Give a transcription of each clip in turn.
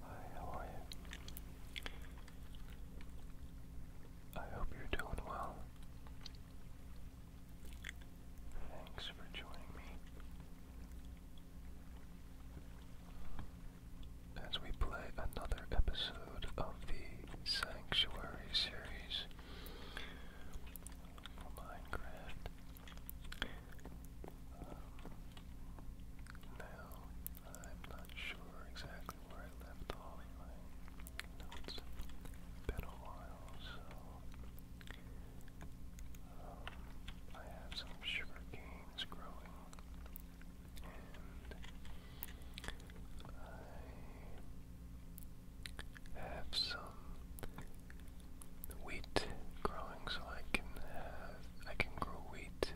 Hi, how are you? I hope you're doing well. Thanks for joining me as we play another episode of the Sanctuary series for Minecraft now, I'm not sure exactly where I left all my notes. been a while, so I have some sugar canes growing, and I have some wheat growing so I can have, I can grow wheat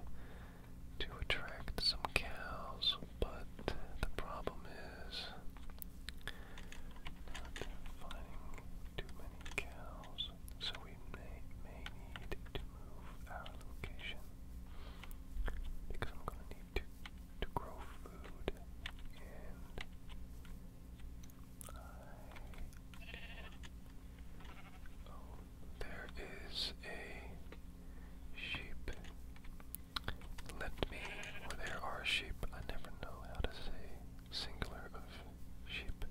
to attract some cows, but the problem is not finding too many cows, so we may, may need to move our location because I'm going to need to, to grow food and there is a sheep. Let me, there are sheep. I never know how to say singular of sheep.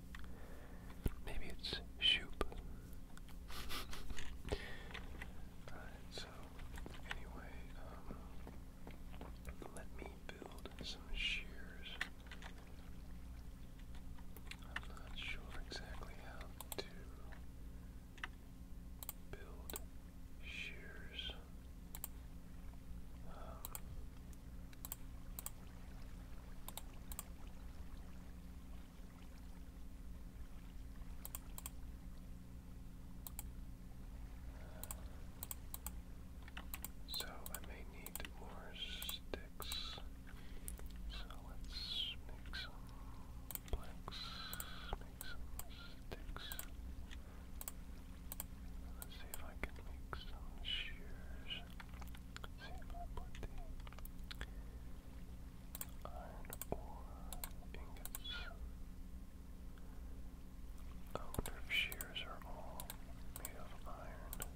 Maybe it's shoop. so anyway, um, let me build some shears. I'm not sure exactly how to build shears. Um, uh, so I may need more sticks. So let's make some planks, make some sticks. Let's see if I can make some shears. see if I put the iron ore ingots. I wonder if shears are all made of iron.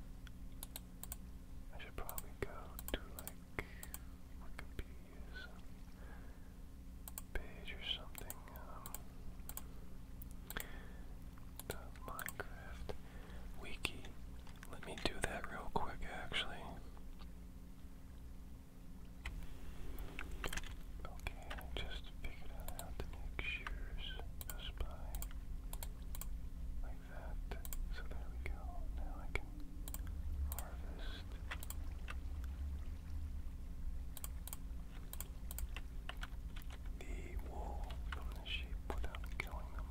I should probably go to like what page or something. Um, the Minecraft wiki. Let me do that real quick, actually. Okay, just figured out how to make so there we go. Now I can harvest. The wool from the sheep without killing them.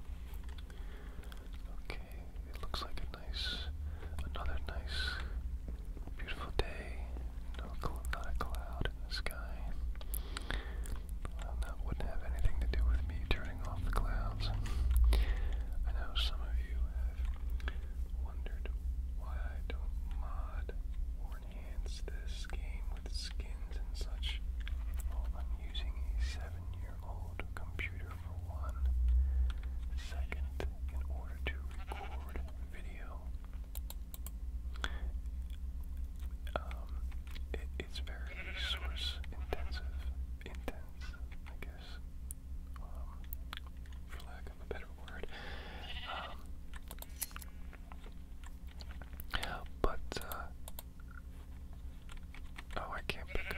Okay, it looks like a nice, another nice, beautiful day. No, not a cloud in the sky that wouldn't have anything to do with me turning off the clouds. I know some of you have wondered why I don't mod or enhance this game with skins and such. I'm using a seven-year-old computer for one. in order to record video, um, it's very source intensive, intense, I guess, um, for lack of a better word. Um, but, uh, oh, I can't pick up uh,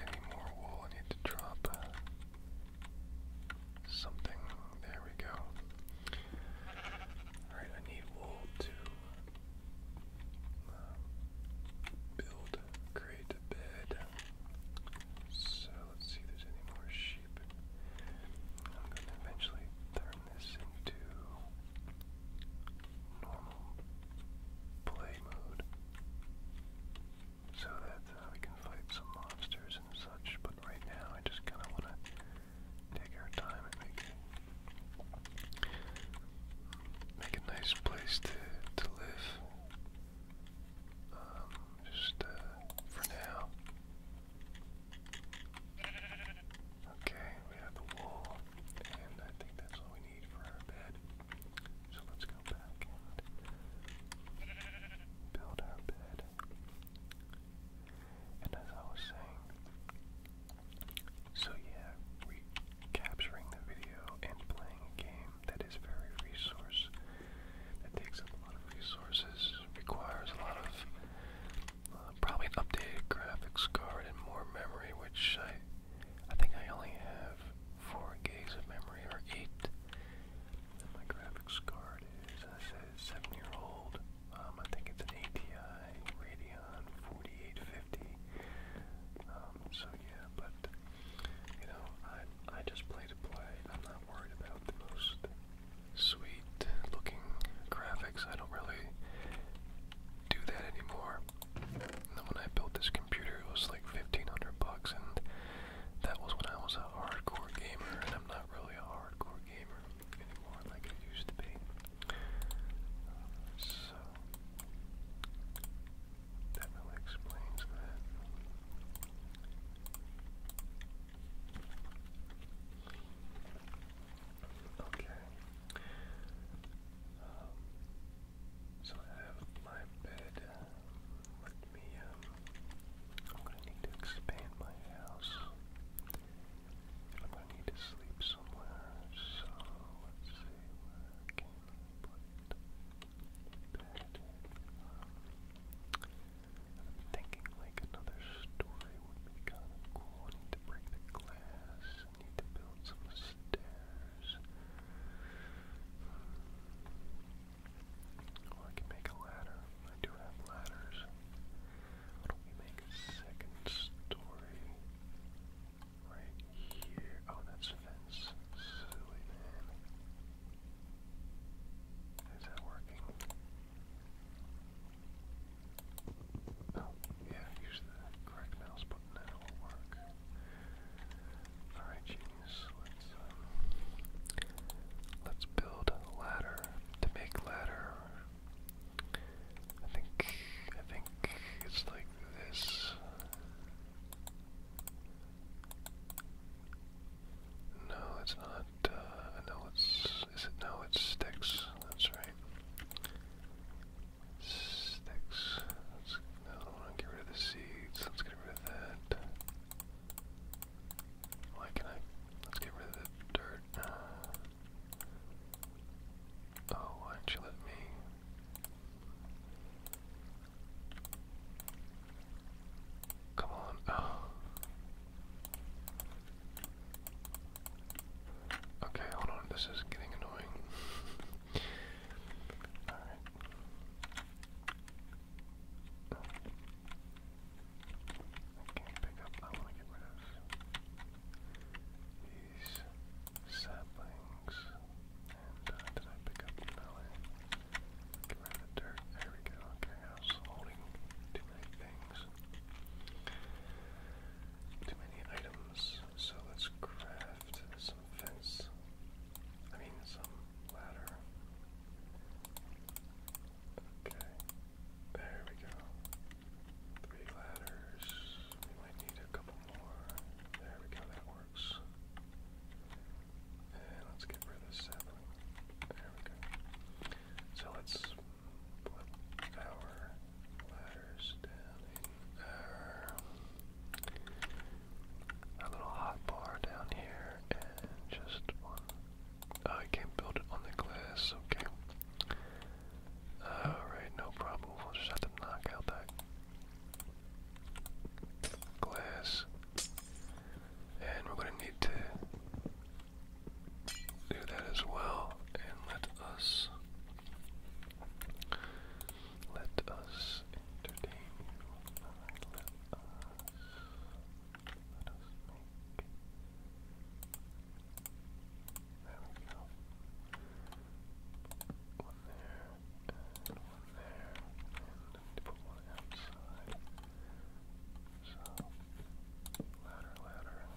any more wool. I need to drop uh, something. There we go. Alright, I need wool to build, create a bed. So let's see if there's any more sheep. I'm eventually turn this into normal play mode so that uh, we can fight some monsters and such. But right now, I just kind of want to take our time and make make a nice place to to live. Um, just uh, for now. Okay, we have the wool, and I think that's all we need for our bed. So let's go back and build our bed. And as I was saying, so yeah, we capturing the video and playing a game that is very resource, that takes a lot of resources, requires a lot of uh, probably updated graphics card and more memory, which I, I think I only have four gigs of memory or eight. And my graphics card is, as I said, seven year old. Um, I think it's an ATI Radeon beyond 48.50. Um, so yeah, but you know, I I just play to play. I'm not worried about the most sweet looking graphics. I don't really do that anymore. And when I built this computer, it was like 1500 bucks and that was when I was a hardcore gamer and I'm not really a hardcore gamer anymore like I used to be. Uh, so so that really explains that. Okay. Um, so I have my bed. let me. Um, I'm gonna need to expand my house. I'm gonna need to sleep somewhere. So let's see i thinking like another story would be kind need to break the glass. need to build some stairs. Or I can make a ladder. I do have ladders. Why do we make a second story? Right here. Oh, that's a fence. Silly man. Is that working? Oh, yeah, use the correct mouse button and will work. Alright, genius. Let's, um, let's build ladder. To make ladder, I think, I think it's like this. No, it's not. Uh, no, it's. Is it? No, it's sticks. That's right. Sticks. no, I want to get rid of the seeds. Let's get rid of that. Why can Let's get rid of the dirt. Oh, why don't you let me Come on. Okay, hold on. This is getting annoying. I can't pick up. I want to get rid of these saplings things. And uh, too many things. Too many items. So let's craft some fence. I mean, some ladder. Okay. There we go. Three ladders. We might need a couple more. There we go, that works. And let's get rid of this sapling. There we go. So let's put our ladders down in our, little hot bar down here and just one. Oh, I can't build it on the glass, okay. Alright, no problem. We'll just have to knock out that glass. And we're going to need to do that as well. And let us, let us entertain let, us, let us make. There we go. One there and one there, and put one outside. So, ladder, ladder.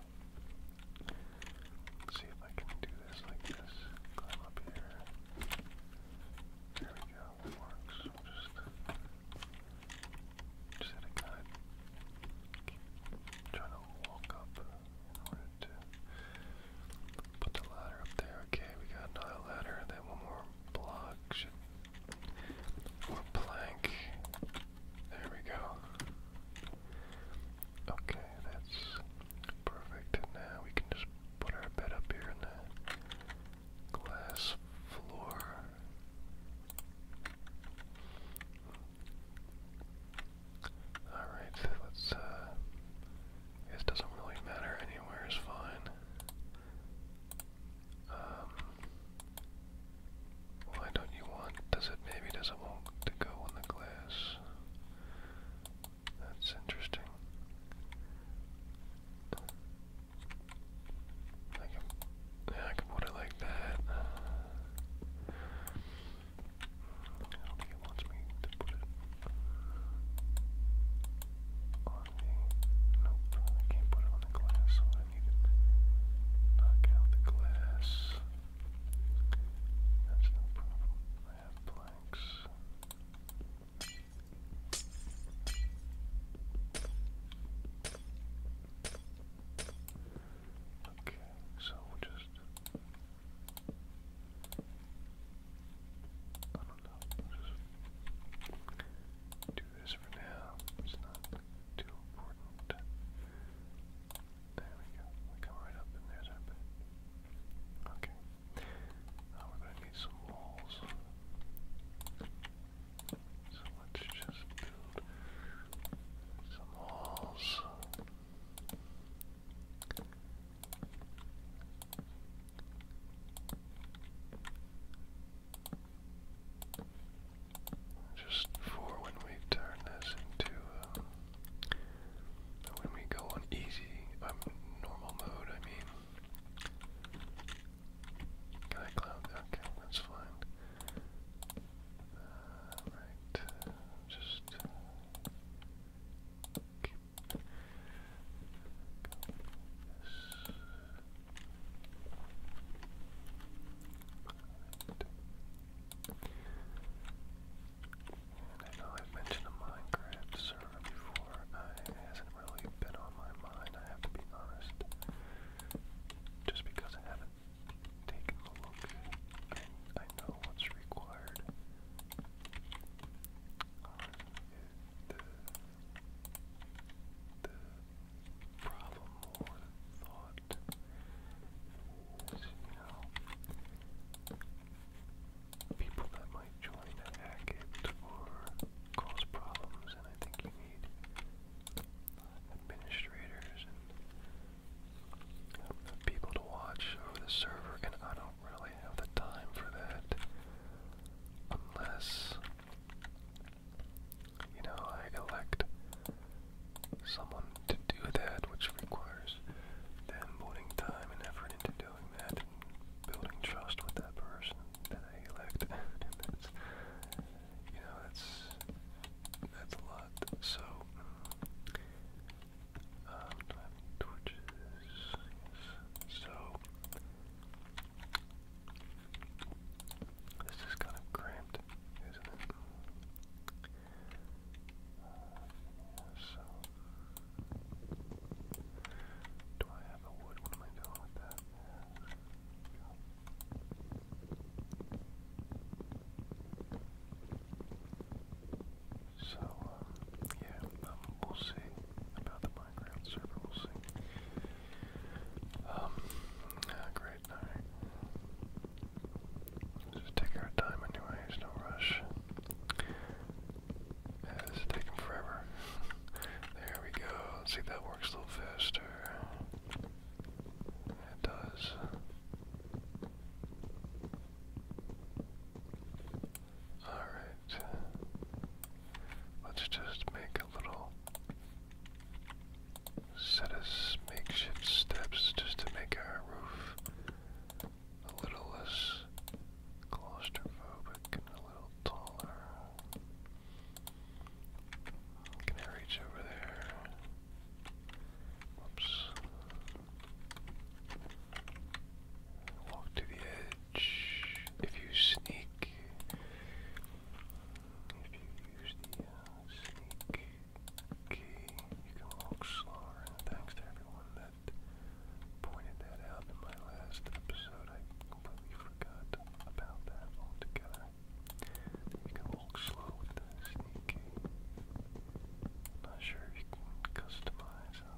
see if I can do this like this. Climb up here. There we go, works. Just, just had to kind trying to walk up put the ladder up there. Okay, we got another ladder, then one more block should plank. There we go. Okay, that's perfect. now we can just put our bed up here in the glass floor. Alright, so let's, uh, I doesn't really matter, anywhere is fine. Um, why don't you want, does it, maybe doesn't want to go on the glass? That's interesting. yeah, I can put it like that. Now he wants me to put it on the. Nope, I can't put it on the glass, so I need to knock out the glass. That's no problem. I have planks. Okay, so just I don't know. just do this for now. It's not too important. There we go. We come right up and there's our bed. Okay. Now we're gonna need some walls. So let's just build some walls. Just for when we turn this into, uh, when we go on easy, um, normal mode, I mean. Can I cloud? Okay, that's fine. Uh, right, uh, just keep and I know I've mentioned a Minecraft server before. Uh, it hasn't really been on my mind, I have to be honest. Just because I haven't taken a look, I, I know what's required the, the problem or thought is, you people that might join and hack it or cause problems, and I think you need administrators and uh, people to watch over the server, and I don't don't really have the time for that unless, you know, I elect someone to do that, which requires them putting time and effort into doing that and building trust with that person that I elect. and that's, you know, that's, that's a lot. So, um, torches? So, this is kind of cramped, isn't it? so, do I have wood? What am I doing with that? So, um, yeah, um, we'll see about the Minecraft server, we'll see. Um, ah, great Just take our time anyways, no rush. Yeah, this is taking forever. there we go, see that works a little faster. It does. Alright. Let's just make a little set of makeshift steps just to make our roof a little less claustrophobic and a little taller. Can I reach over there? Whoops. Walk to the if you sneak, uh, you can walk slower. thanks to everyone that pointed that out in my last episode, I completely forgot about that altogether. You can walk slow with the sneak not sure if you can customize how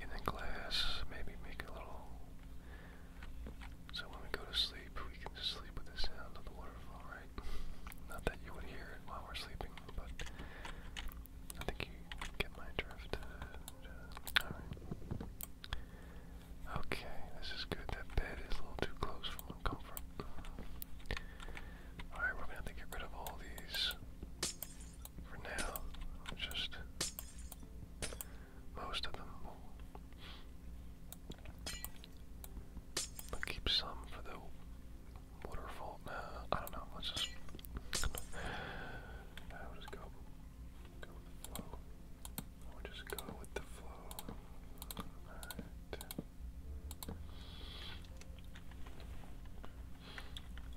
in the glass, maybe make a little. So when we go to sleep, we can sleep with the sound of the waterfall, right? Not that you would hear it while we're sleeping, but I think you get my drift. Okay, this is good. That bed is a little too close for comfort. Alright, we're gonna have to get rid of all these for now. Just most of them But keep some for the waterfall. Nah, I don't know. Let's just. i just go. Go with the flow. just go with the flow.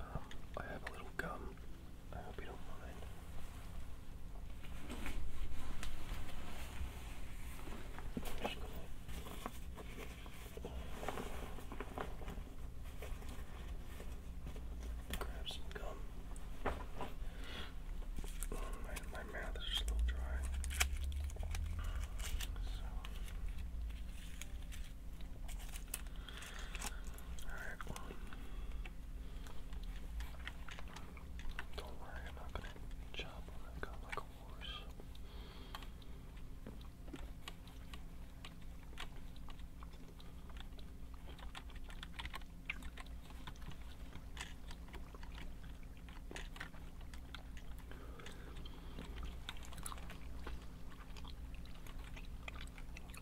Alright. Um, I have a little gum I hope you don't mind. grab some gum. my, mouth is a little dry. So Alright, well. Don't worry, I'm not gonna chop on that gun like a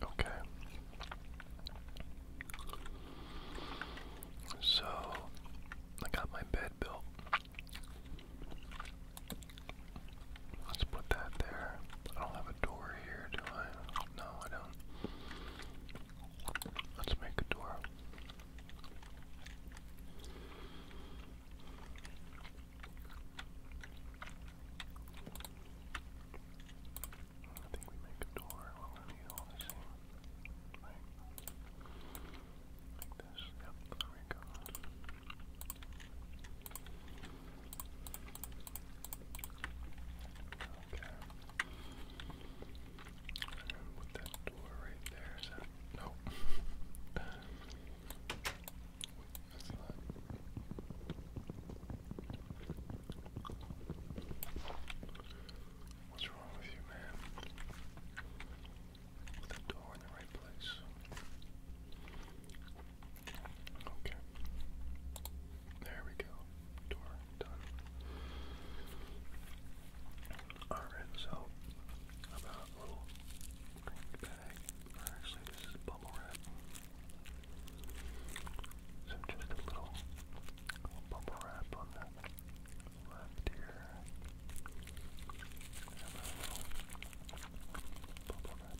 Okay. So I got my bed built. Let's put that there. I don't have a door here, do I? No, I don't. Let's make a door. I think we make a door. We're going all the same. Like this. Yep, we go. Okay. And that door right there, is that? No. that's not. What's wrong with you, man? the door in the right place. Okay. There we go. Door done. Alright, so about a little green bag. actually, this is bubble wrap. So just a little, bubble wrap on the left here. bubble wrap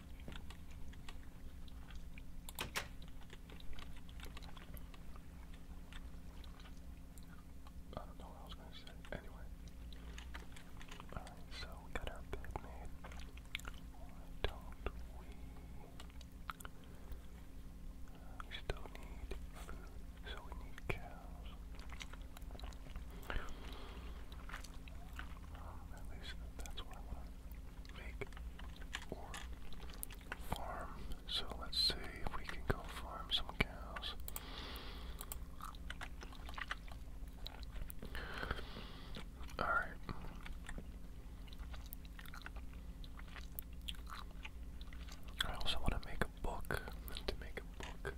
I don't know what I was going to say. Anyway. Alright, so we got our bed made. Why don't we? Uh, we still need food, so we need cows. at least that's what I want make or farm. So let's see if we can go farm some cows. Alright. I also want to make a book. To make a book,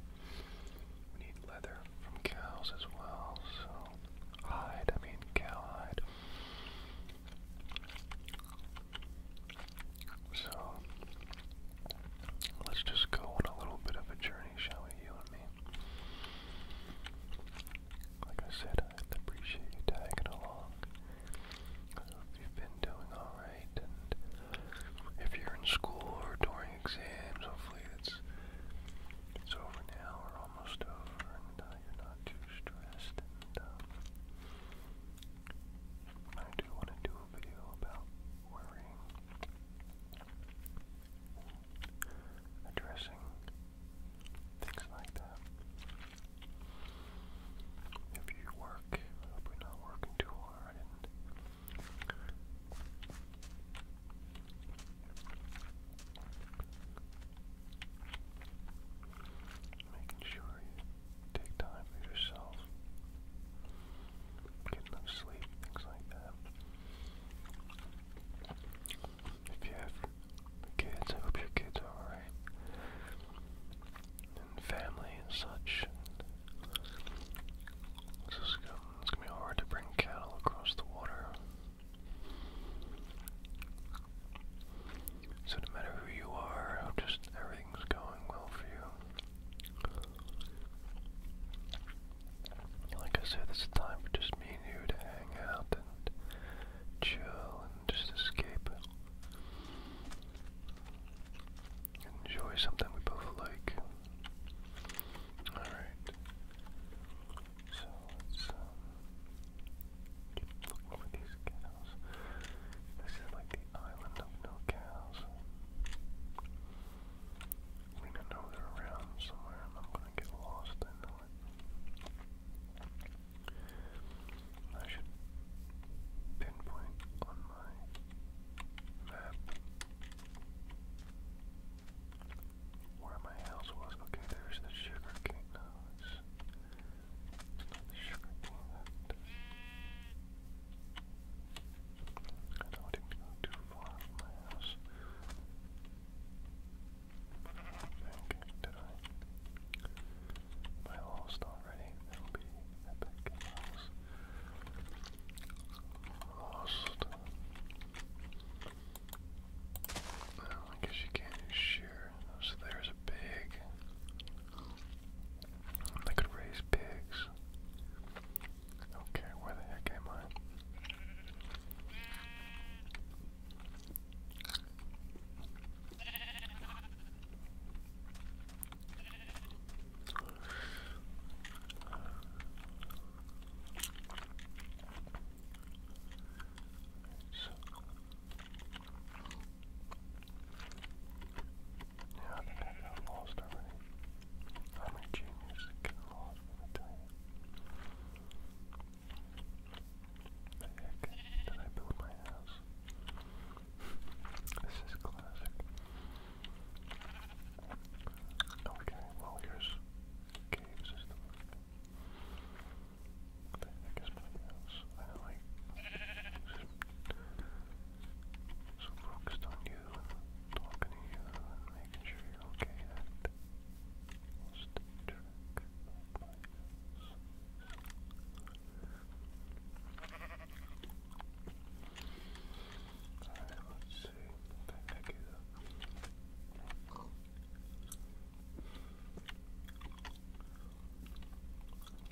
we need leather from cows as well, so hide, I mean cowhide. So let's just go on a little bit of a journey, shall we, you and me? Like I said, I appreciate you tagging along. hope you've been doing alright, and if you're in school or during exams, hopefully it's, it's over now or almost over, you're not too stressed. And um, I do want to do a video about worrying, addressing things like that. If you work, hope you're not working too hard Making sure you take time for yourself, get enough sleep, things like that. If you have kids, I hope your kids are alright. And family and such. This is, gonna be hard to bring cattle across the water. So no matter who you are, just everything's going well for you. Like I said, this is time for just me and you to hang out and chill and just escape. Enjoy something we both like. Alright. So let's um, keep looking for these cows. This is like the island of no cows. We don't know they're around somewhere and I'm gonna get lost, I know it. I should pinpoint on my map where my house was. Okay, there's the sugar cane now. It's sugar product. I know I didn't go too far from my house. Okay, did I? I lost already, that'll be epic. Lost. Lost. I guess you can't shear. So there's a pig. They could raise pigs. Okay, where the heck am I? So, yeah, I think lost already. How many juniors are lost, let me tell you. The heck did I build my house? This is classic. Okay, well here's cave I guess nothing else. I like so focused on you talking to you making sure you're okay that most trick of my Alright, let's see. Back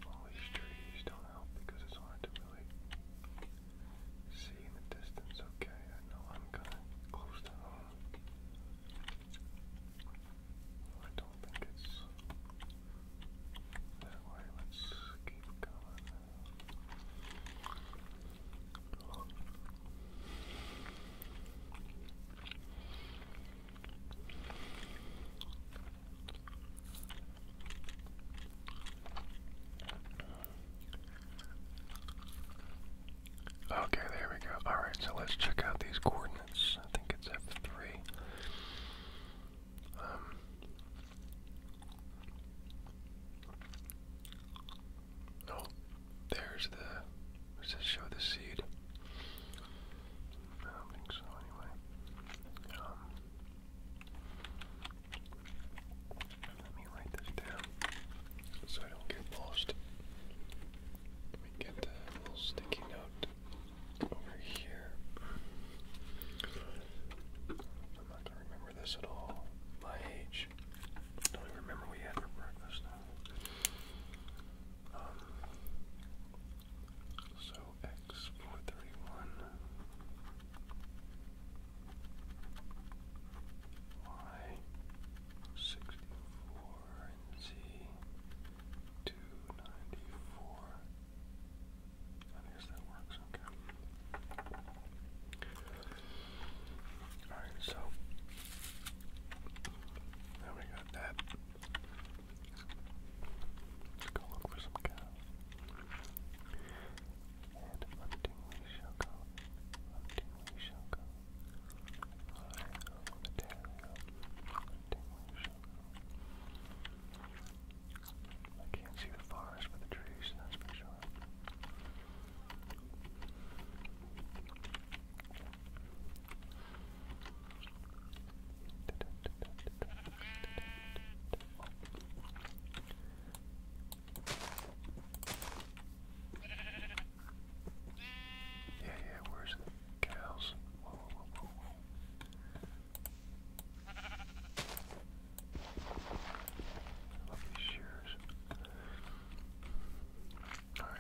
all these trees don't help because it's hard to really see in the distance. Okay, I know I'm kinda close to home. I don't think it's that way. Let's keep going. Okay, there we go. Alright, so let's check out these coordinates. I think it's F3. Um, oh, there's the. Does this show the seed? I don't think so, anyway. Um, let me write this down so I don't get lost. Let me get the little sticky note over here. I'm not gonna remember this at all. My age. don't even remember we had for breakfast now. Um, so X four thirty one Y sixty four and Z two ninety four. I guess that works, okay. Alright, so now we got that. Let's go look for some cows. And hunting we shall go. Hunting we shall go. Hunting we shall go. I can't see the forest for the trees, that's for sure. Yeah, yeah, where's the cows? Whoa, whoa, whoa, whoa, whoa. Lovely shears. Alright.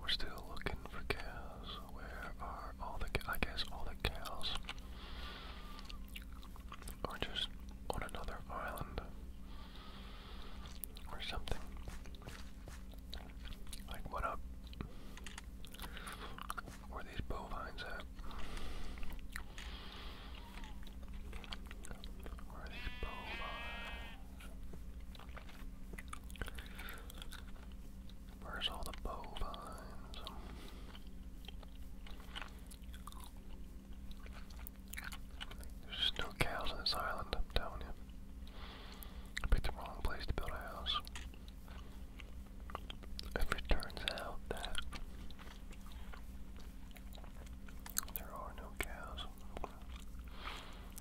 We're still looking for cows. Where are all the I guess all the cows are just on another island or something. Like what up? Where are these bovines at? Where are these bovines? Where's all the bovines? There's no cows on this island, I'm telling you. picked the wrong place to build a house. If it turns out that there are no cows,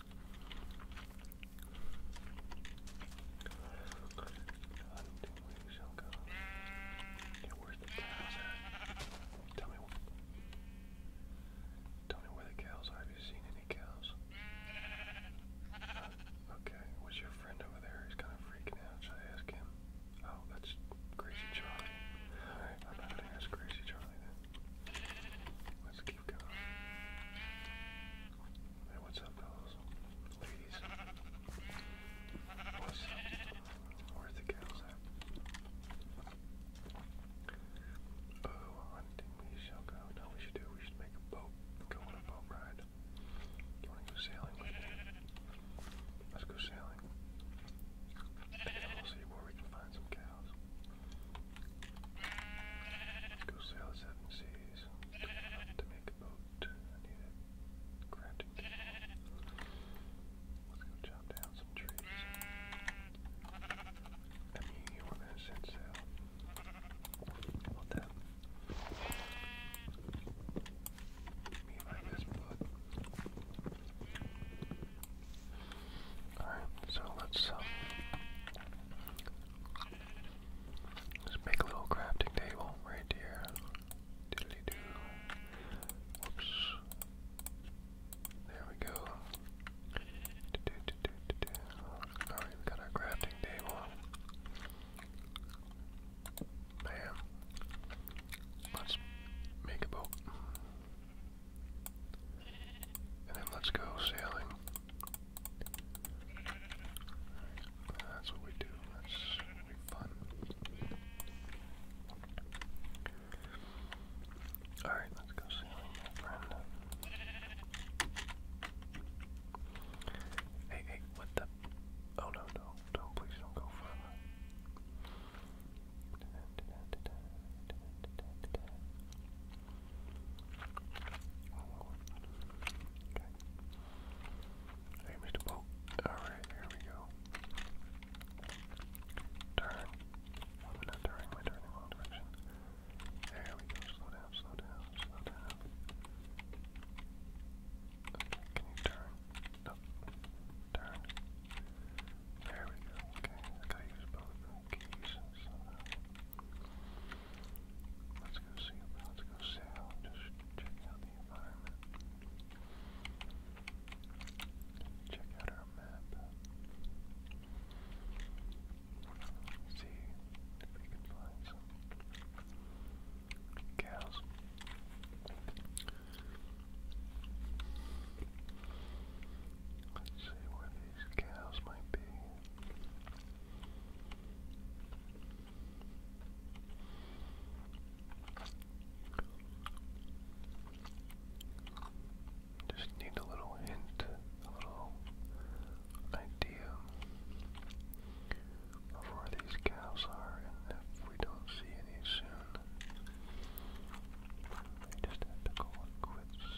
Until we shall go. Tell me where the cows are. Have you seen any cows? okay, was your friend over there? He's kind of freaking out. Should I ask him? Oh, that's Crazy Charlie. Alright, I'm not gonna ask Crazy Charlie Hey, what's up, fellas? Ladies? What's up? Where's the cows at? Oh, hunting we shall go. No, we should do. We should make a boat. Go on a boat ride. You wanna go sailing Let's go sailing. I'll see where we can find some cows. Go sail the seven seas. To make a boat, I need a crafting table. Let's go chop down some trees. I mean, you want to set sail. How about that? Me like this, but. Alright, so let's uh, let's make a little crafting table right here. Diddly There we go. Alright, we got our crafting table. Bam. Let's make a boat. And then let's go sailing. That's what we do. That's fun. Alright, let's go sailing, my friend. Hey, hey, what the? Oh no, no, do please don't go further. Okay. Hey, Mr. Boat. Alright, here we go. Turn. I'm not my turn direction. There we go. Slow down, slow down, slow down. Okay, can you turn? No. Turn. There we go. Okay, I gotta use Let's go see, let's go sail, just check out the environment. Check out our map. See if we can find some cows. Let's see where these cows might be. Just need a little hint, a little idea of where these cows are, and if we don't see any soon, we just have to call it quits.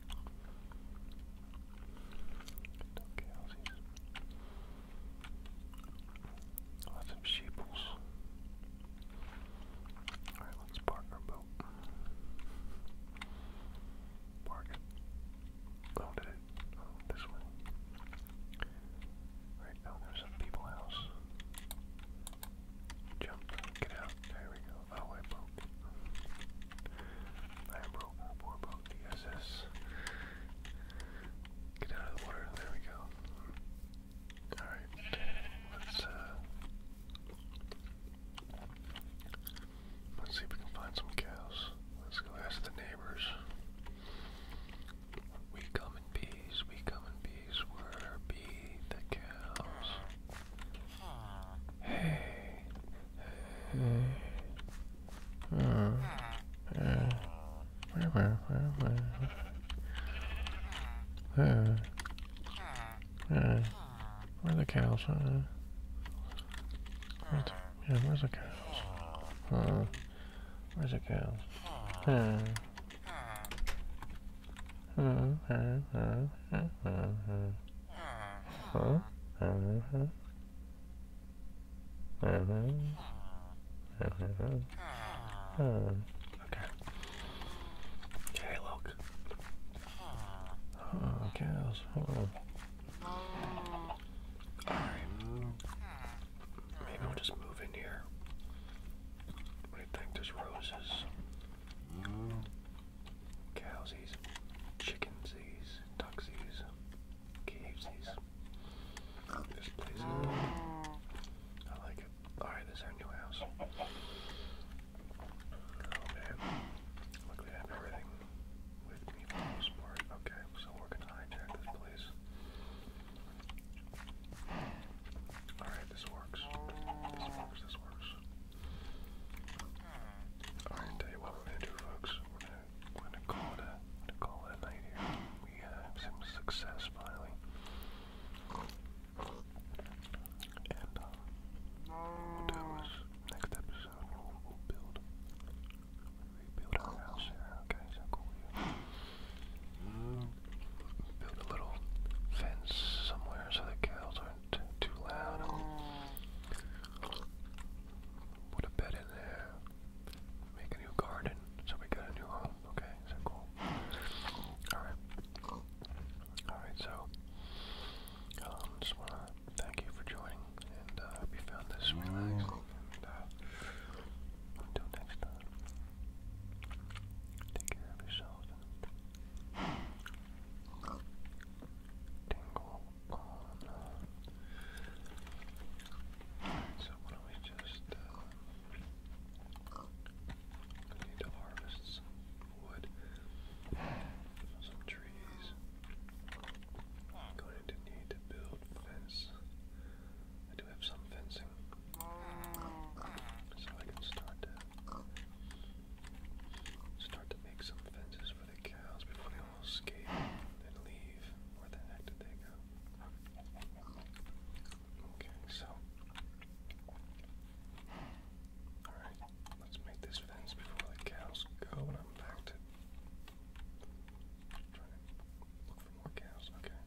Okay, i Lots of sheeples. Alright, let's park our boat. Park it. Oh, did oh, this way. Right, now oh, there's a people house. Jump, get out. There we go. Oh, I broke I broke poor boat, the Get out of the water, there we go. Alright, let's, let's see if we can find some cows. Let's go ask the neighbors. We come in bees, we come in bees, we're the cows. Where are the cows? Uh, where's the, yeah, where's the cows? Uh, where's the cows? Uh, uh, uh, uh, uh, Huh? Uh-huh. Uh-huh. Uh-huh. Uh, okay. Oh, okay, look. Oh, cows. Alright. Maybe we'll just move in here. What think? There's roses cowsies, chickensies, ducksies, cavesies. This place is cool. Ah. I like it. Alright, this our new house. Oh man. Luckily I have everything with me for the most part. Okay, so we're gonna hijack this place. Alright, this works. This works, this works. Alright, what we're gonna do folks. We're gonna call it we're gonna call it night here. We have some success finally. And uh, we'll do is next episode we'll, build rebuild our house Okay, so cool you build a little fence somewhere so the cows are too loud. Put a bed in there. Make a new garden. So we got a new home. Okay, is cool? Alright. Alright, so um, just wanna thank you for joining and I uh, hope you found this relaxing uh, until next time. Take care of yourself tingle so why don't we just uh, need to harvest wood some trees. i going to need to build fence. I do have some fencing. So I can start start to make some fences the cows before they all escape and leave. Where the heck did they go? Okay, so. Alright, let's make this fence before the cows go and I'm back to trying to look for more cows. Okay.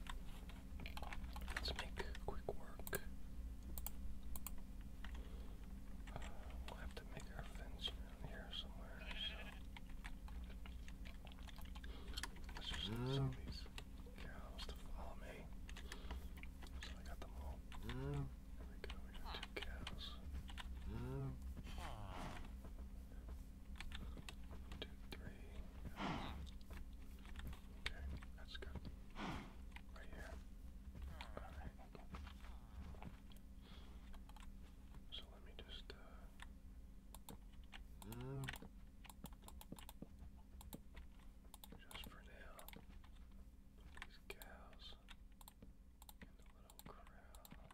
Let's make quick work. Uh, we'll have to make our fence let's just get some of these cows to follow me. So I got them all. There mm. we go. We got two cows. Mm. Two, three. Okay, that's good. Right here. Alright. So let me just. Uh, mm, just for now, put these cows in the little corral.